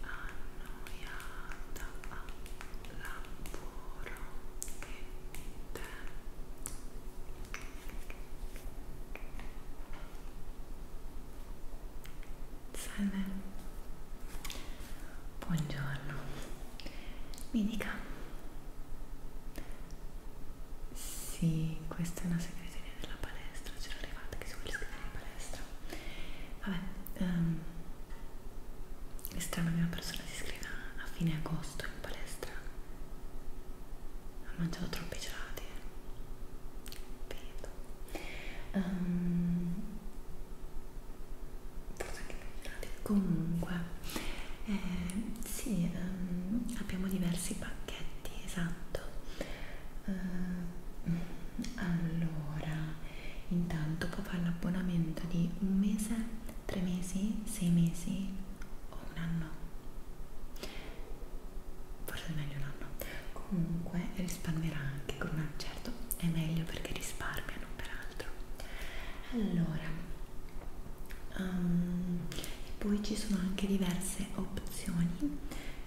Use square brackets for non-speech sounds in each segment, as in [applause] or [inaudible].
annoiata al lavoro e te salve buongiorno mi dica sì, questa è una segreteria della palestra, c'era arrivata che si vuole iscrivere in palestra. Vabbè, um, ehm, è strano che una persona si iscriva a fine agosto in palestra. Ha mangiato troppi gelati. Eh. Vedo. Um, forse anche più gelati. Comunque, eh, sì, um, abbiamo diversi pacchetti effetti, esatto. Uh, allora, intanto può fare l'abbonamento di un mese, tre mesi, sei mesi o un anno. Forse è meglio un anno. Comunque risparmierà anche con un anno, certo, è meglio perché risparmiano peraltro. Allora, um, e poi ci sono anche diverse opzioni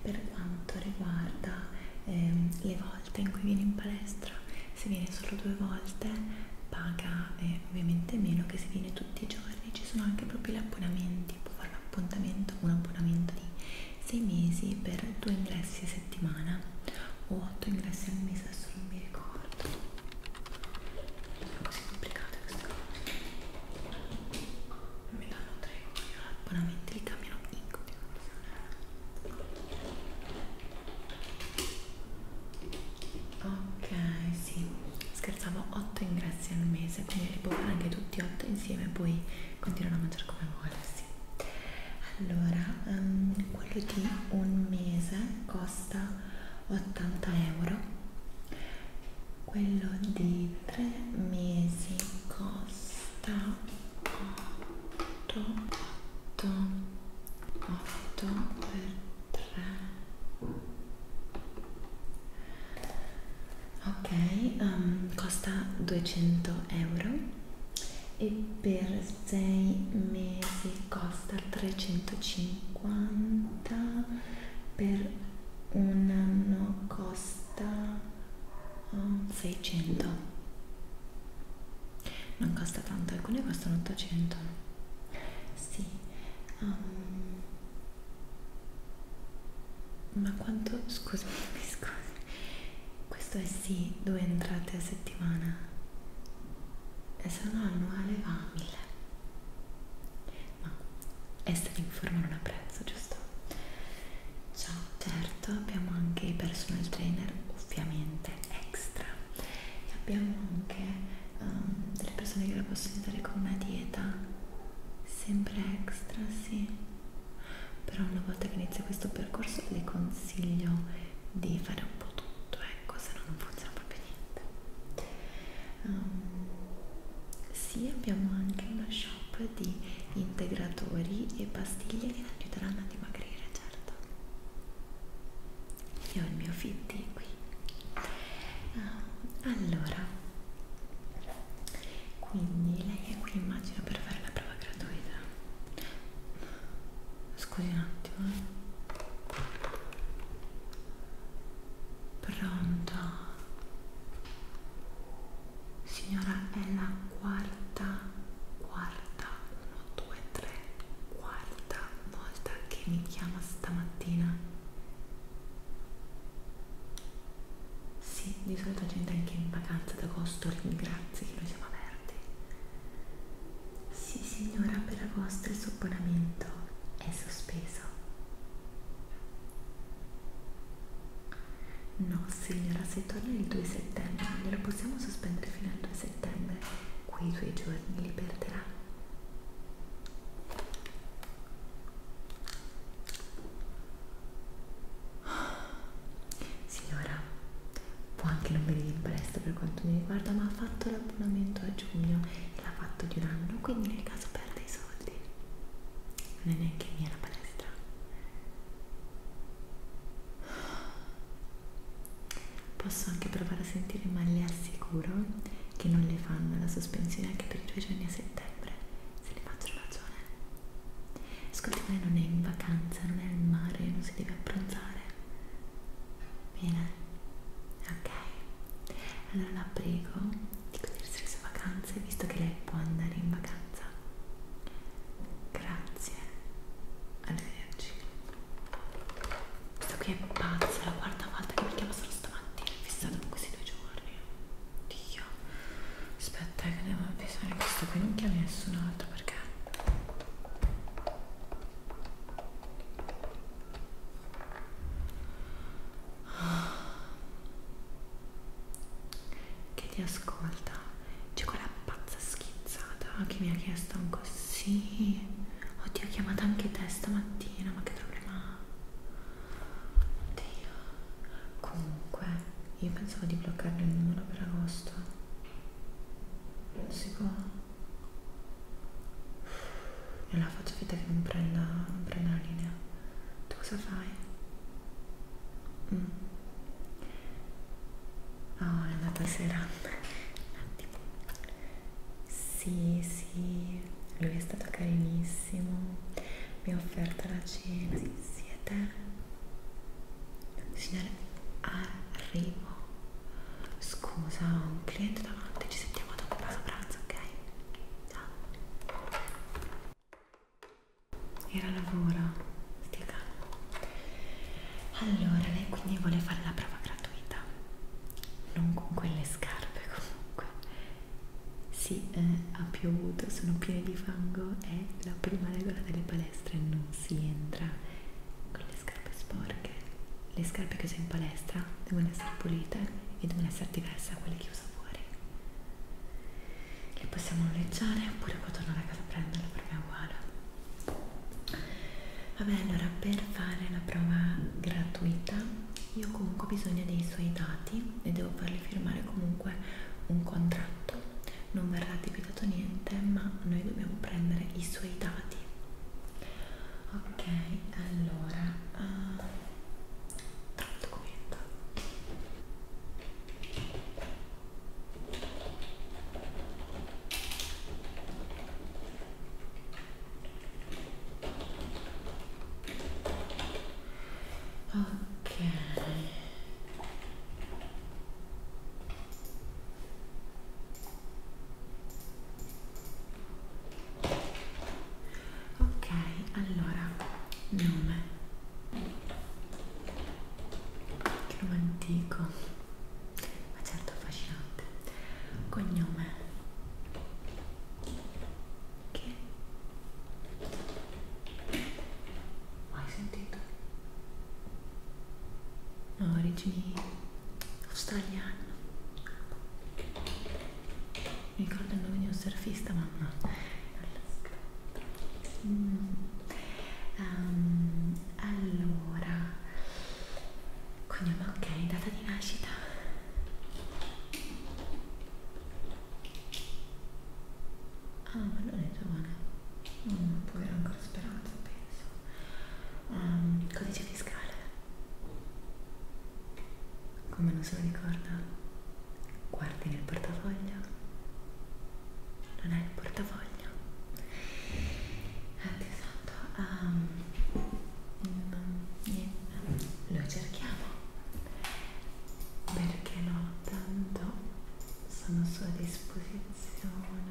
per quanto riguarda ehm, le volte in cui viene in palestra se viene solo due volte paga eh, ovviamente meno che se viene tutti i giorni ci sono anche proprio gli abbonamenti può fare un appuntamento un abbonamento di 6 mesi per due ingressi a settimana o 8 ingressi al mese adesso non mi ricordo sono così complicate queste cose non mi danno tre euro abbonamenti li cambiano in continuazione ok sì scherzavo 8 ingressi al mese quindi li può fare anche tutti 8 insieme e poi continuano a mangiare come vuole sì. allora um, quello di un mese costa 80 euro quello di 3 mesi costa 8 8 8 per 3 ok um, costa 200 euro e per 6 mesi costa 350 per un anno costa 600 um, non costa tanto alcune costano 800 sì um, ma quanto scusami [laughs] scusi questo è sì due entrate a settimana e se no annuale va a 1000 ma essere in forma non ha prezzo, giusto? Ciao, certo, abbiamo anche i personal trainer, ovviamente extra, e abbiamo anche um, delle persone che la possono aiutare con una dieta, sempre extra, sì. Però una volta che inizia questo percorso le consiglio di fare un po' tutto, ecco se no non funziona proprio niente um, sì abbiamo anche uno shop di integratori e pastiglie che aiuteranno a dimagrire certo io ho il mio fitti qui um, allora quindi lei è qui immagino per fare la prova gratuita scusi un attimo eh. Pronto? Signora, è la quarta, quarta, uno, due, tre, quarta volta che mi chiama stamattina. Sì, di solito gente anche in vacanza d'agosto ringrazia che noi siamo aperti. Sì signora, per agosto il supponamento è sospeso. No signora, se torna il 2 settembre, glielo possiamo sospendere fino al 2 settembre. Quei due giorni li perderà. Signora, può anche non venire in palestra per quanto mi riguarda, ma ha fatto l'abbonamento a giugno l'ha fatto di un anno quindi nel caso perda i soldi non è neanche mia la palestra posso anche provare a sentire ma le assicuro che non le fanno la sospensione anche per i due giorni a settembre se ne faccio ragione ascolti lei non è in vacanza non è al mare non si deve abbronzare bene ok? Allora la prego di godersi le sue vacanze visto che lei può andare in vacanza. Grazie, arrivederci. Questa qui è pazza, la quarta volta che mi chiama solo stamattina, è fissata con questi due giorni. Dio, aspetta eh, che devo avvisare questo qui, non chiami nessun altro perché che ti ascolta c'è quella pazza schizzata che mi ha chiesto un così oddio ho chiamato anche te stamattina ma che problema ha oddio comunque io pensavo di bloccarne il numero per agosto non si può allora faccio finta che non prenda, non prenda la linea. Tu cosa fai? Mm. Oh, è andata sera. Un attimo. Sì, sì, lui è stato carinissimo. Mi ha offerto la cena. Sì, siete? Signore, arrivo. Scusa, ho un cliente davanti, ci sentiamo dopo pausa pranzo, ok? Ciao. Era lavoro, stia calma. Allora, lei quindi vuole fare la prova gratuita. Non con quelle scarpe [laughs] comunque. Sì, eh, ha piovuto, sono piene di fango, è la prima regola delle palestre, non si entra con le scarpe sporche le scarpe che uso in palestra devono essere pulite e devono essere diverse da quelle che uso fuori le possiamo noleggiare oppure quando torno da casa a prenderle per me è uguale vabbè allora per fare la prova gratuita io comunque ho bisogno dei suoi dati e devo farli firmare comunque un contratto non verrà capitato niente ma noi dobbiamo prendere i suoi dati ok allora uh, tra il documento Ok ok allora nome che nome antico ma certo affascinante cognome che mai sentito ha origini australiane mi ricordo il nome di un surfista ma no mm. um, allora cognome ok data di nascita ah ma non è giovane non mm, può avere ancora speranza, penso. Um, ehm, codice fiscale. Come non se lo ricorda? Guardi nel portafoglio. Non è il portafoglio. Dio eh, santo. Um, ehm, niente. Lo cerchiamo. Perché no? Tanto sono a sua disposizione pensione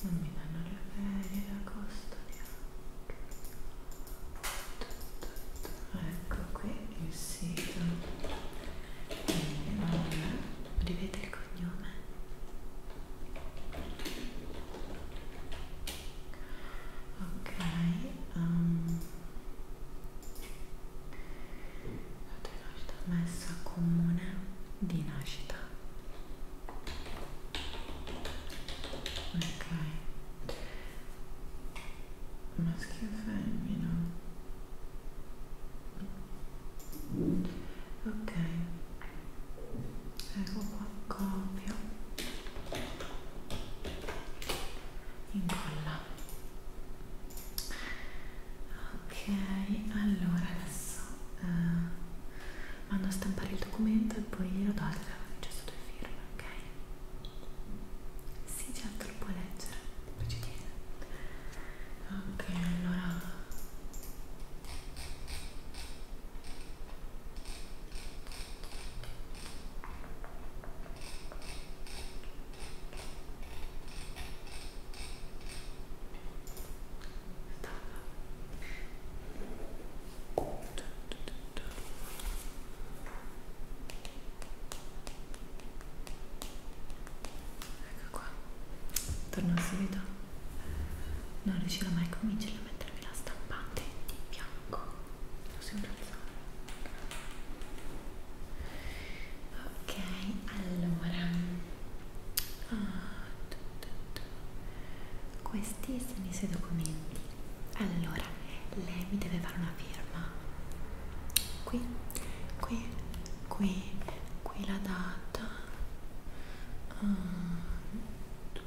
non mi danno le ferie l'agosto neanche ecco qui il sito non rivede ecco, il cognome ecco, ok um, la tua nascita messa comune di nascita. Ok. Maschio e femmina. Ok. Ecco qua copio. Incolla ok allora adesso eh, vado a stampare il documento e poi lo do al telefono c'è sotto il firma ok sì certo lo puoi leggere ci tiene ok allora Ecco qua, torno al solito. Non riuscirò mai a convincerla a mettermi la stampante di bianco. Lo sempre alzare ok allora oh, tu, tu, tu. questi sono i suoi documenti allora lei mi deve fare una firma qui qui qui qui la data uh,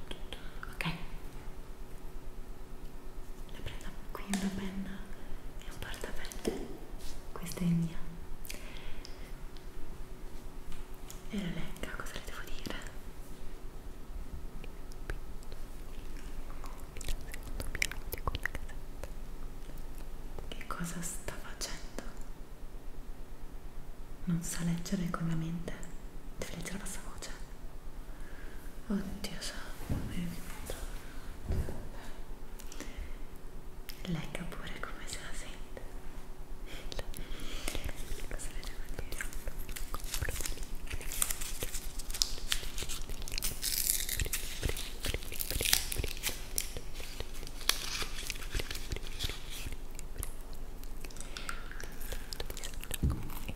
ok la prendo qui una penna e un portapelle questa è mia e la legga, cosa le devo dire? Che cosa sta facendo? Non sa leggere con la mente, deve leggere la sua voce. Oddio santo, mi ricordo. Legga pure come se la sente. Cosa le devo dire? Ecco,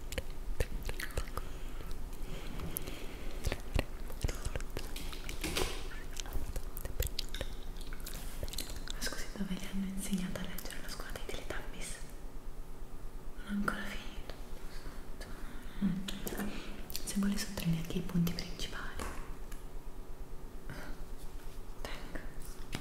ma scusi, dove le hanno insegnato a leggere la scuola dei Teletubbies? Non ho ancora finito. Mm. Se vuole sottolinea anche i punti principali. Tengo.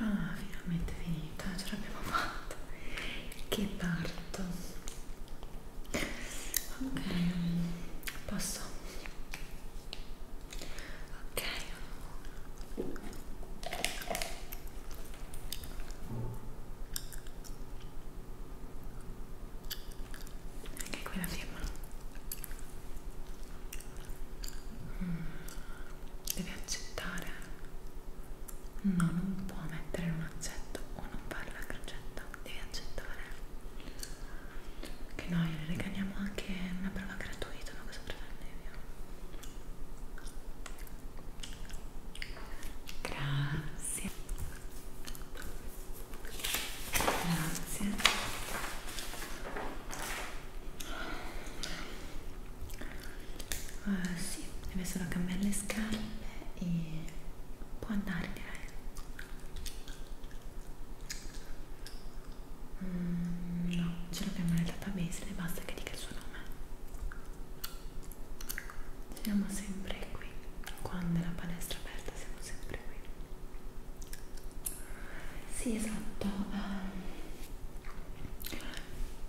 Ah, finalmente è finita, ce l'abbiamo fatta. Che parto. Ok, posso. Ok anche qui la firma mm. deve accettare no non può mettere un accetto o non fare la crocetta devi accettare che noi le regaliamo anche una prova gratuita ma cosa pretendevi Grazie. Grazie. Uh, sì, deve solo cambiare le scarpe e può andare direi. Mm, no, ce lo chiamo nel database e basta che dica il suo nome. Siamo sempre qui, quando è la palestra aperta siamo sempre qui. Sì, esatto. Uh,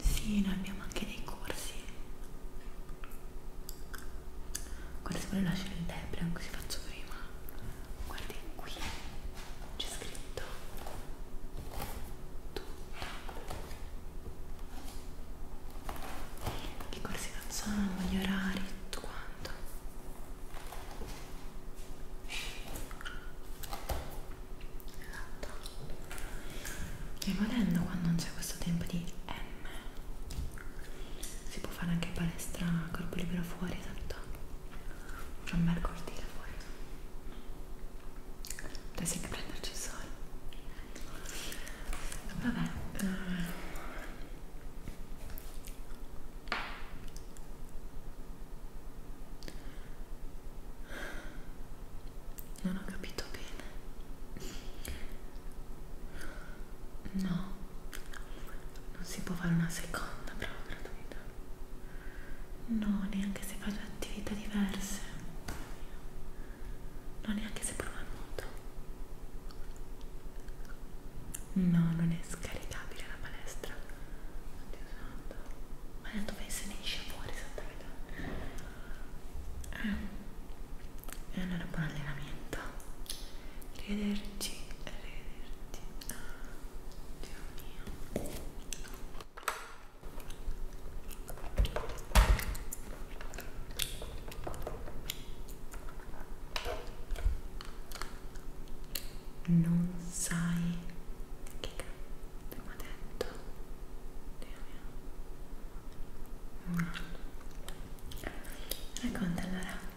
sì, noi abbiamo anche dei corsi. Guarda, se vuole lasciare il debrian così faccio prima. Guardi qui, c'è scritto tutto che corsi facciamo, gli orari, tutto quanto esatto e volendo quando non c'è questo tempo di M si può fare anche palestra corpo libero fuori esatto c'è un bel cortile fuori Potessi anche prenderci il sole. Vabbè. Eh. Non ho capito bene. No, non si può fare una seconda prova gratuita. No, neanche se faccio attività diverse. No, neanche se provo a nuoto. No, non è scaricabile la palestra. Oddio santo. Ma dove se ne esce fuori santa verità? Eh. E allora buon allenamento. Arrivederci, arrivederci. Dio mio. Non sai che cazzo mi ha detto? Dio mio. Racconta allora.